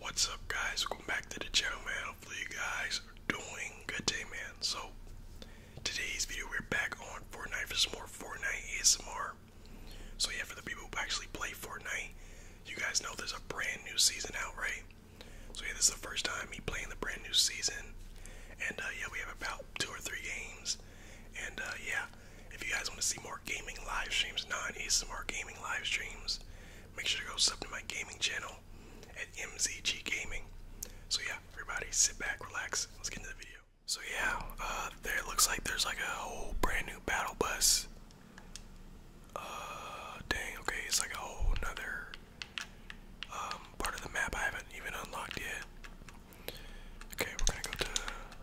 What's up guys, welcome back to the channel man, hopefully you guys are doing good day man. So, today's video we're back on Fortnite for some more Fortnite ASMR. So yeah, for the people who actually play Fortnite, you guys know there's a brand new season out, right? So yeah, this is the first time me playing the brand new season. And uh, yeah, we have about two or three games. And uh, yeah, if you guys want to see more gaming live streams, not asmr gaming live streams, Make sure to go sub to my gaming channel at MZG Gaming. So yeah, everybody sit back, relax, let's get into the video. So yeah, uh, there looks like there's like a whole brand new battle bus. Uh, dang, okay, it's like a whole another um, part of the map I haven't even unlocked yet. Okay, we're gonna go to,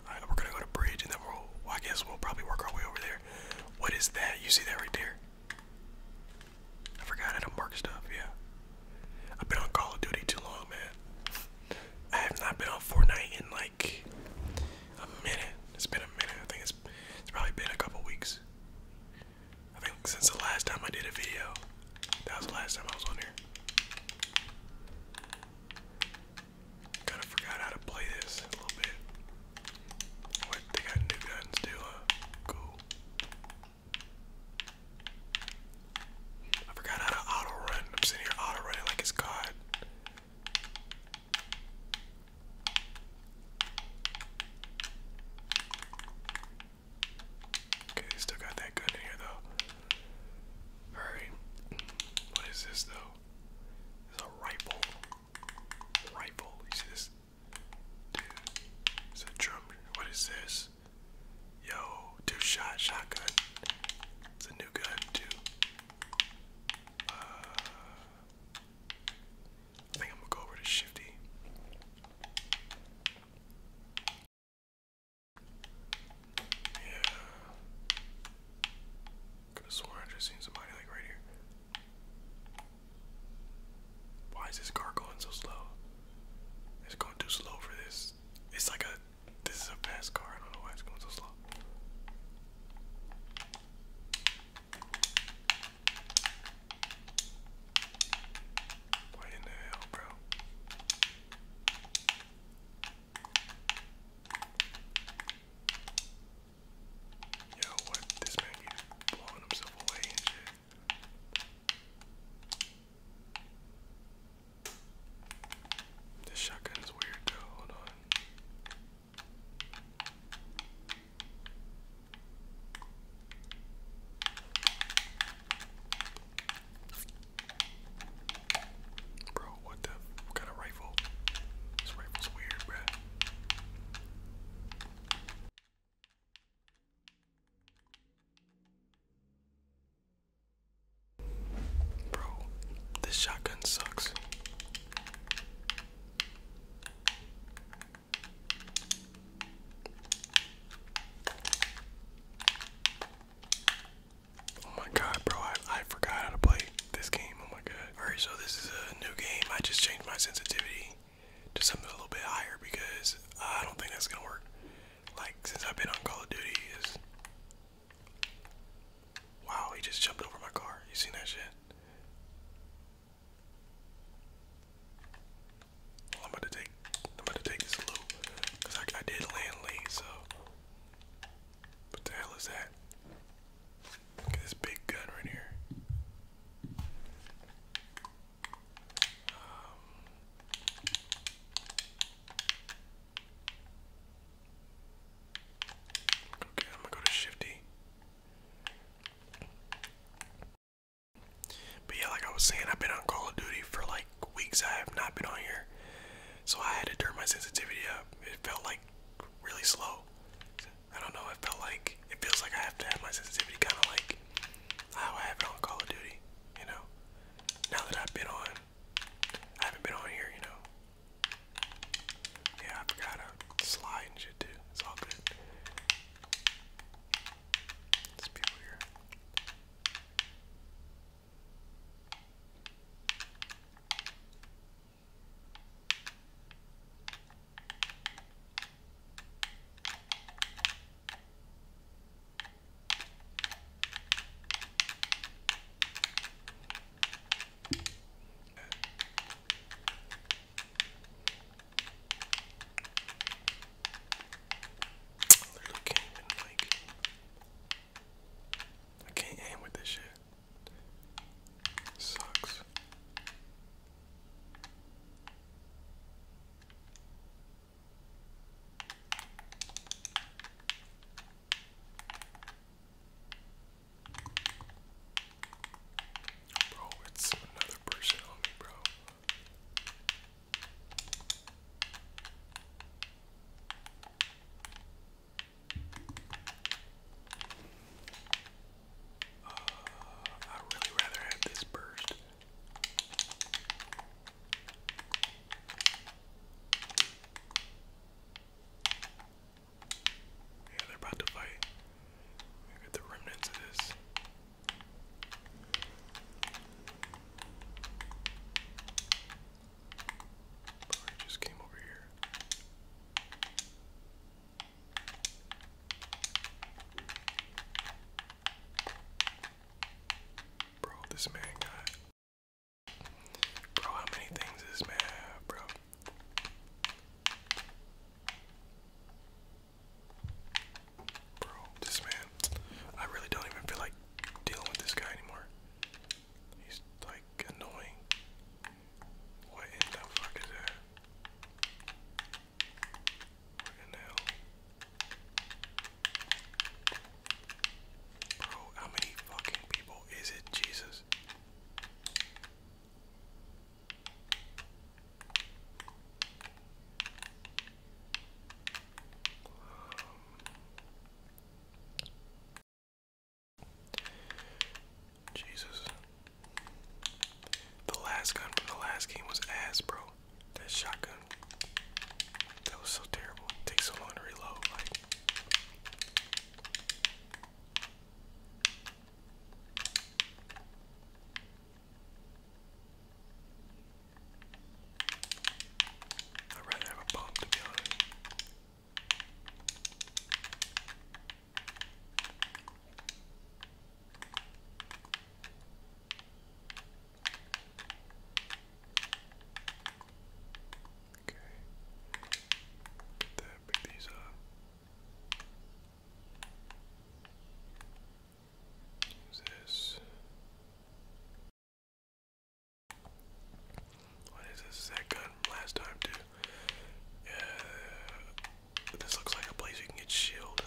uh, we're gonna go to bridge and then we'll, I guess we'll probably work our way over there. What is that? You see that right there? I forgot how to mark stuff, yeah. I've been on Call of Duty too long, man. I have not been on Fortnite in like a minute. It's been a minute. I think it's, it's probably been a couple weeks. I think since the last time I did a video, that was the last time I was on here. Kinda forgot how to play this a little bit. What they got new guns too, Cool. I forgot how to auto run. I'm sitting here auto running like it's God. Okay, still got that gun in here though. Alright. What is this though? It's a rifle rifle. You see this? it's a drum. What is this? Yo, two shot shotgun. It's a new gun too. Uh, I think I'm gonna go over to Shifty. Yeah. Could have I just seen somebody like right here. Why is this car going so slow? It's going too slow for this. It's like a. This is a fast car. I don't know why it's going so slow. Why in the hell, bro? Yo, what? This man keeps blowing himself away and shit. This shotgun weird though, hold on. Bro, what the? What kind of rifle? This rifle's weird, bruh. Bro, this shotgun sucks. Oh my god, bro, I, I forgot how to play this game. Oh my god. Alright, so this is a new game. I just changed my sensitivity to something a little bit higher because I don't think that's gonna work. Like, since I've been on Call of Duty, Wow, he just jumped over my car. You seen that shit? I'm going to take, I'm about to take this loop because I, I did land late, so what the hell is that? Look at this big gun right here. Um, okay, I'm gonna go to Shifty. But yeah, like I was saying, I've been on Call of Duty for like weeks. I have not been on here. So I had to turn my sensitivity up. It felt like really slow. I don't know. I felt like it feels like I have to have my sensitivity kind of like how I have it on Call of Duty. You know, now that I've been on, I haven't been on here. You know. Yeah, I forgot to slide and shit too. It's all good. There's people here. Literally can't even like I can't aim with this shit. sucks. Bro, it's another person on me, bro. Uh, i really rather have this burst. Yeah, they're about to fight. I got the remnants of this. But I just came over here. Bro, this man got. Bro, how many things this man bro? Bro, this man. I really don't even feel like dealing with this guy anymore. He's like annoying. What in the fuck is that? What the hell? Bro, how many fucking people is it? Jesus. Jesus. The last gun from the last game was ass, bro. That shotgun. That was so terrible. takes so long to reload, like. I'd rather have a bomb to be honest. Okay. Get that, pick these this. What is this? Is that gun last time too? Uh, this looks like a place you can get shield.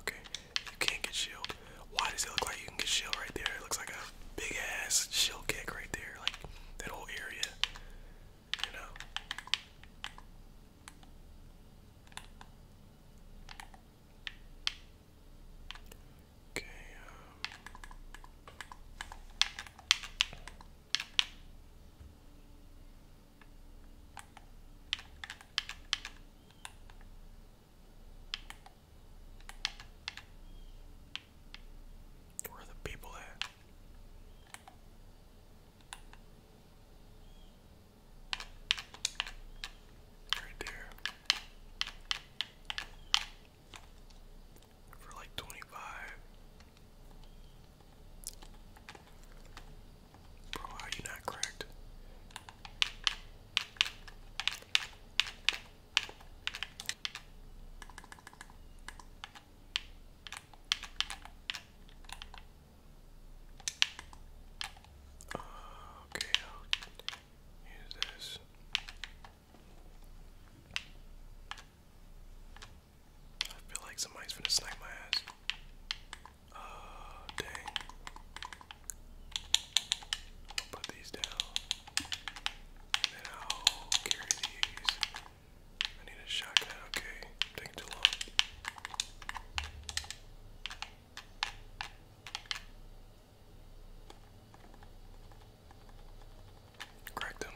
Okay, you can't get shield. Why does it look like you can get shield right there? It looks like a big ass shield kick right there, like that whole area. You know. Okay, where are the people at? Right there. For like 25. Bro, how you not cracked? okay, i use this. I feel like somebody's gonna snipe my ass. Uh, dang. put these down. And carry these. I need a shotgun. Okay, taking too long. Correct him.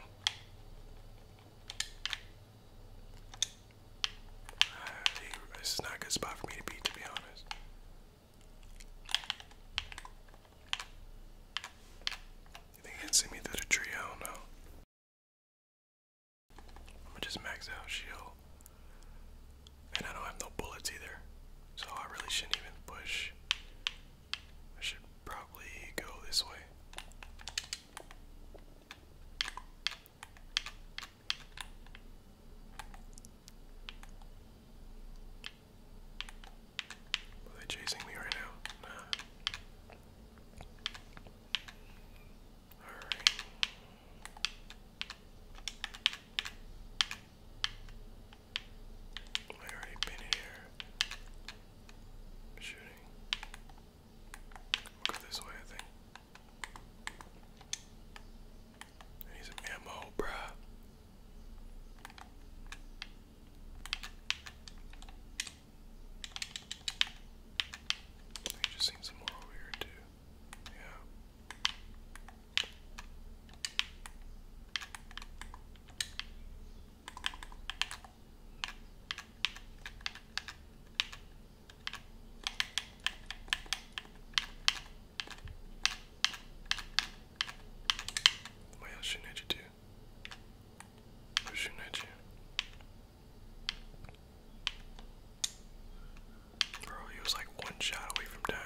Uh, this is not a good spot for me to be, to be honest. You think he can see me through the tree? I don't know. I'm gonna just max out shield. And I don't have no bullets either. So I really shouldn't even push. I should probably go this way. Are they chasing me right now? Nah. Alright. I already been in here shooting. go this way, I think. I ammo, bruh. I just seen some more over here too. Yeah. Why else shooting at you too? Who's shooting at you? Bro, he was like one shot away from dying.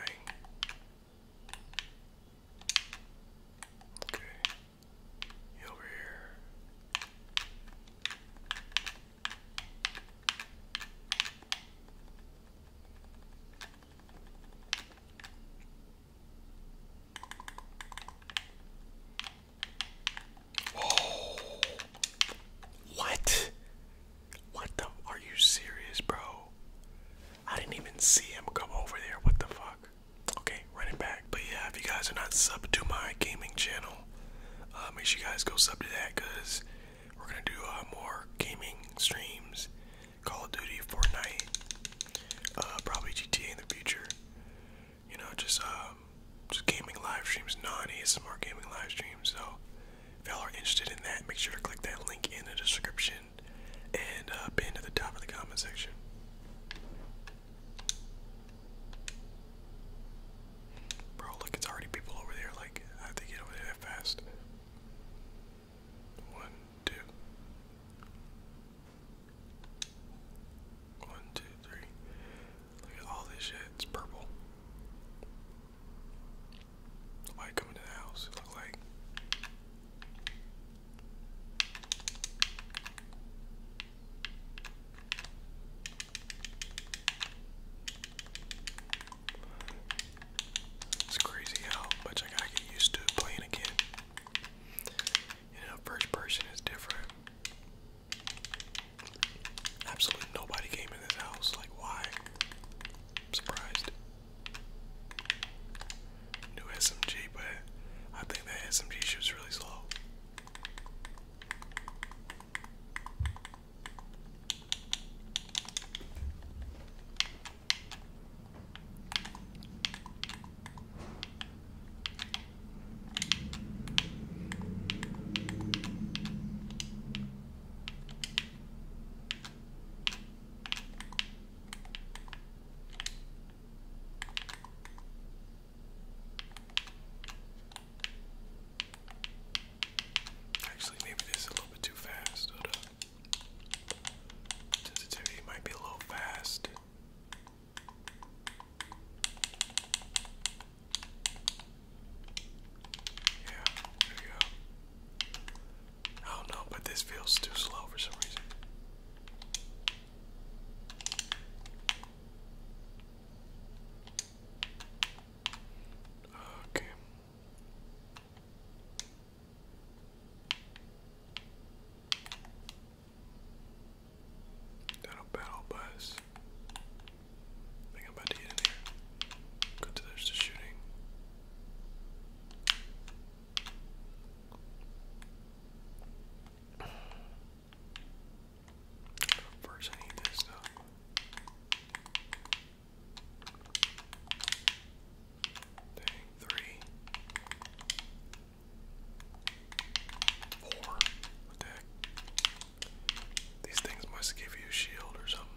Okay. He over here. Whoa. What? What the? Are you serious, bro? I didn't even see him come over there. What the fuck? Okay, running back. But yeah, if you guys are not subbed to my gaming channel, uh, make sure you guys go sub to that because we're gonna do uh, more gaming streams, Call of Duty, Fortnite, uh, probably GTA in the future you know, just um, just gaming live streams, not non smart gaming live streams. So if y'all are interested in that, make sure to click that link in the description and uh, pin to the top of the comment section. Bro, look, it's already people over there. Like, how they get over there fast? One, Look at all this shit. It's purple. Somebody coming to the house. It look like. It's crazy how much I gotta get used to playing again. You know, first person is different. Absolutely nobody came in this house. Like, why? I'm surprised. New SMG, but I think that SMG shoots really slow. Actually, maybe this is a little bit too fast. Hold up. might be a little fast. Yeah, there you go. I do but this feels too slow for some reason. Okay. That'll battle bus. think I'm about to get in here. Go to the shooting. First, I need this stuff. Dang, three. Four. What the heck? These things must give you a shield or something.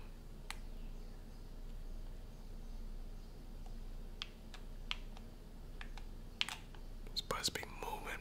This must be moving.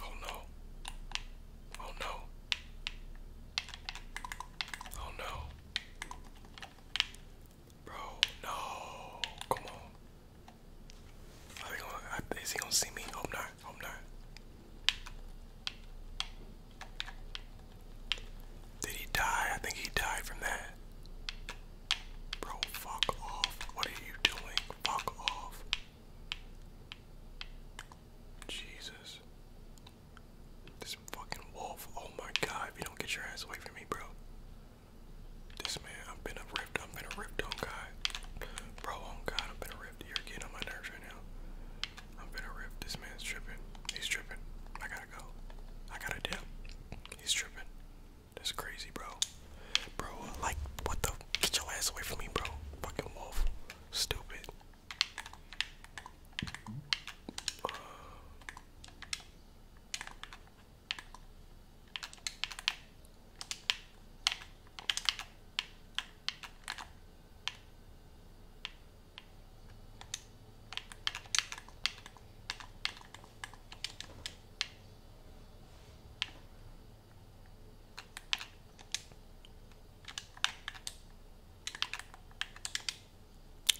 Oh no. Oh no. Oh no. Bro, no. Come on. is he gonna see me? Hope not. Hope not. Did he die? I think he died from that. Bro, fuck off. What are you doing? Fuck off. Jesus. This fucking wolf. Oh my god, if you don't get your ass away from me, bro. This man, I've been a ripped, I've been a ripped on guy. Bro, oh god, I've been a ripped. You're getting on my nerves right now. I've been a ripped. This man's tripping. He's tripping. I gotta go. I gotta deal. He's tripping. That's crazy, bro. Bro, like, what the? Get your ass away from me, bro. Fucking wolf. Stupid.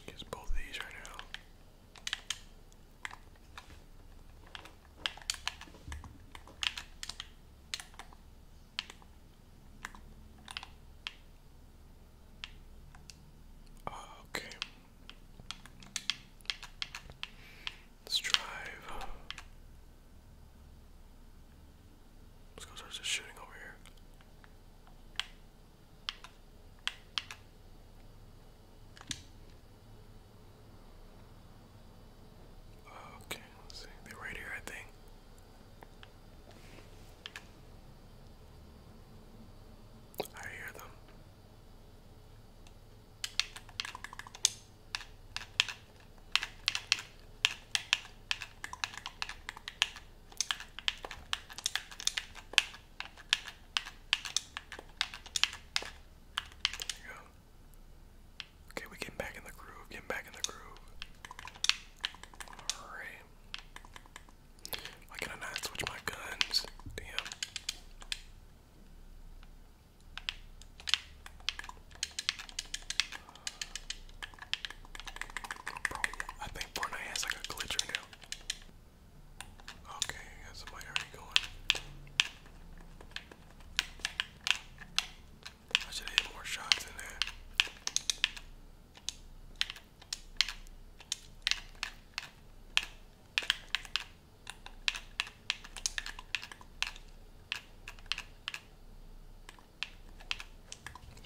Gets both these right now. Ah, okay. Let's drive. Let's go start just shooting over here. Okay, see. They're right here, I think. I hear them. There you go. Okay, we getting back in the groove, getting back in the groove. Alright. Why can I not switch my guns? Damn. Bro, I think Fortnite has like a glitch right now. Okay, somebody already going. I should hit more shots in there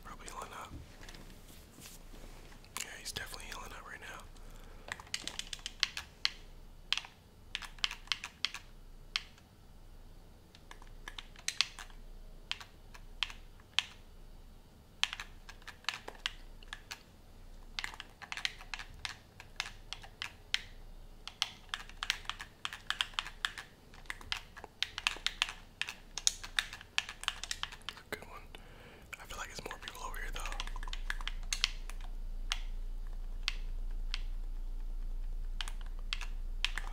probably healing up. Yeah, he's definitely healing up right now. That's a good one. I feel like there's more people over here, though. Uh,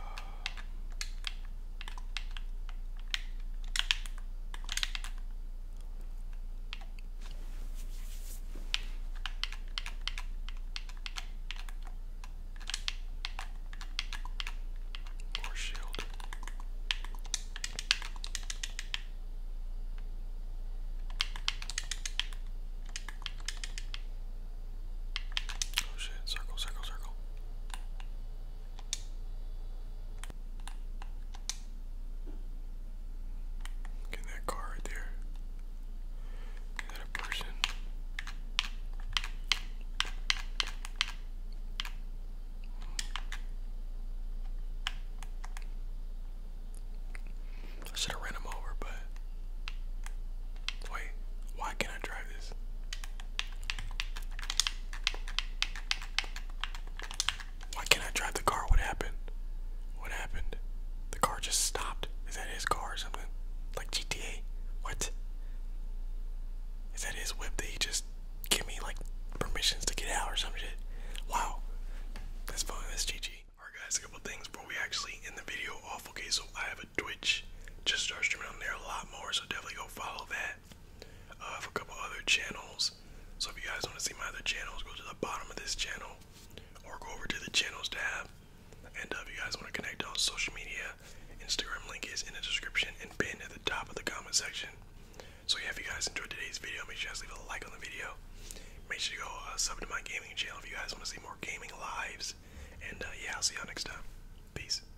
more shield. Oh shit, circle, circle, circle. Look that car right there. Is that a person? I should have ran him over, but wait, why can't I Why can't I drive the car? What happened? What happened? The car just stopped. Is that his car or something? Like GTA? What? Is that his whip that he just give me like permissions to get out or some shit? Wow. That's fun. That's GG. Alright guys, a couple things before we actually in the video awful case, so I have a Twitch. Just start streaming on there a lot more, so definitely go follow that for a couple other channels. So if you guys want to see my other channels, go to the bottom of this channel or go over to the channels tab. And uh, if you guys want to connect on social media, Instagram link is in the description and pinned at the top of the comment section. So yeah, if you guys enjoyed today's video, make sure you guys leave a like on the video. Make sure you go uh, sub to my gaming channel if you guys want to see more gaming lives. And uh, yeah, I'll see y'all next time. Peace.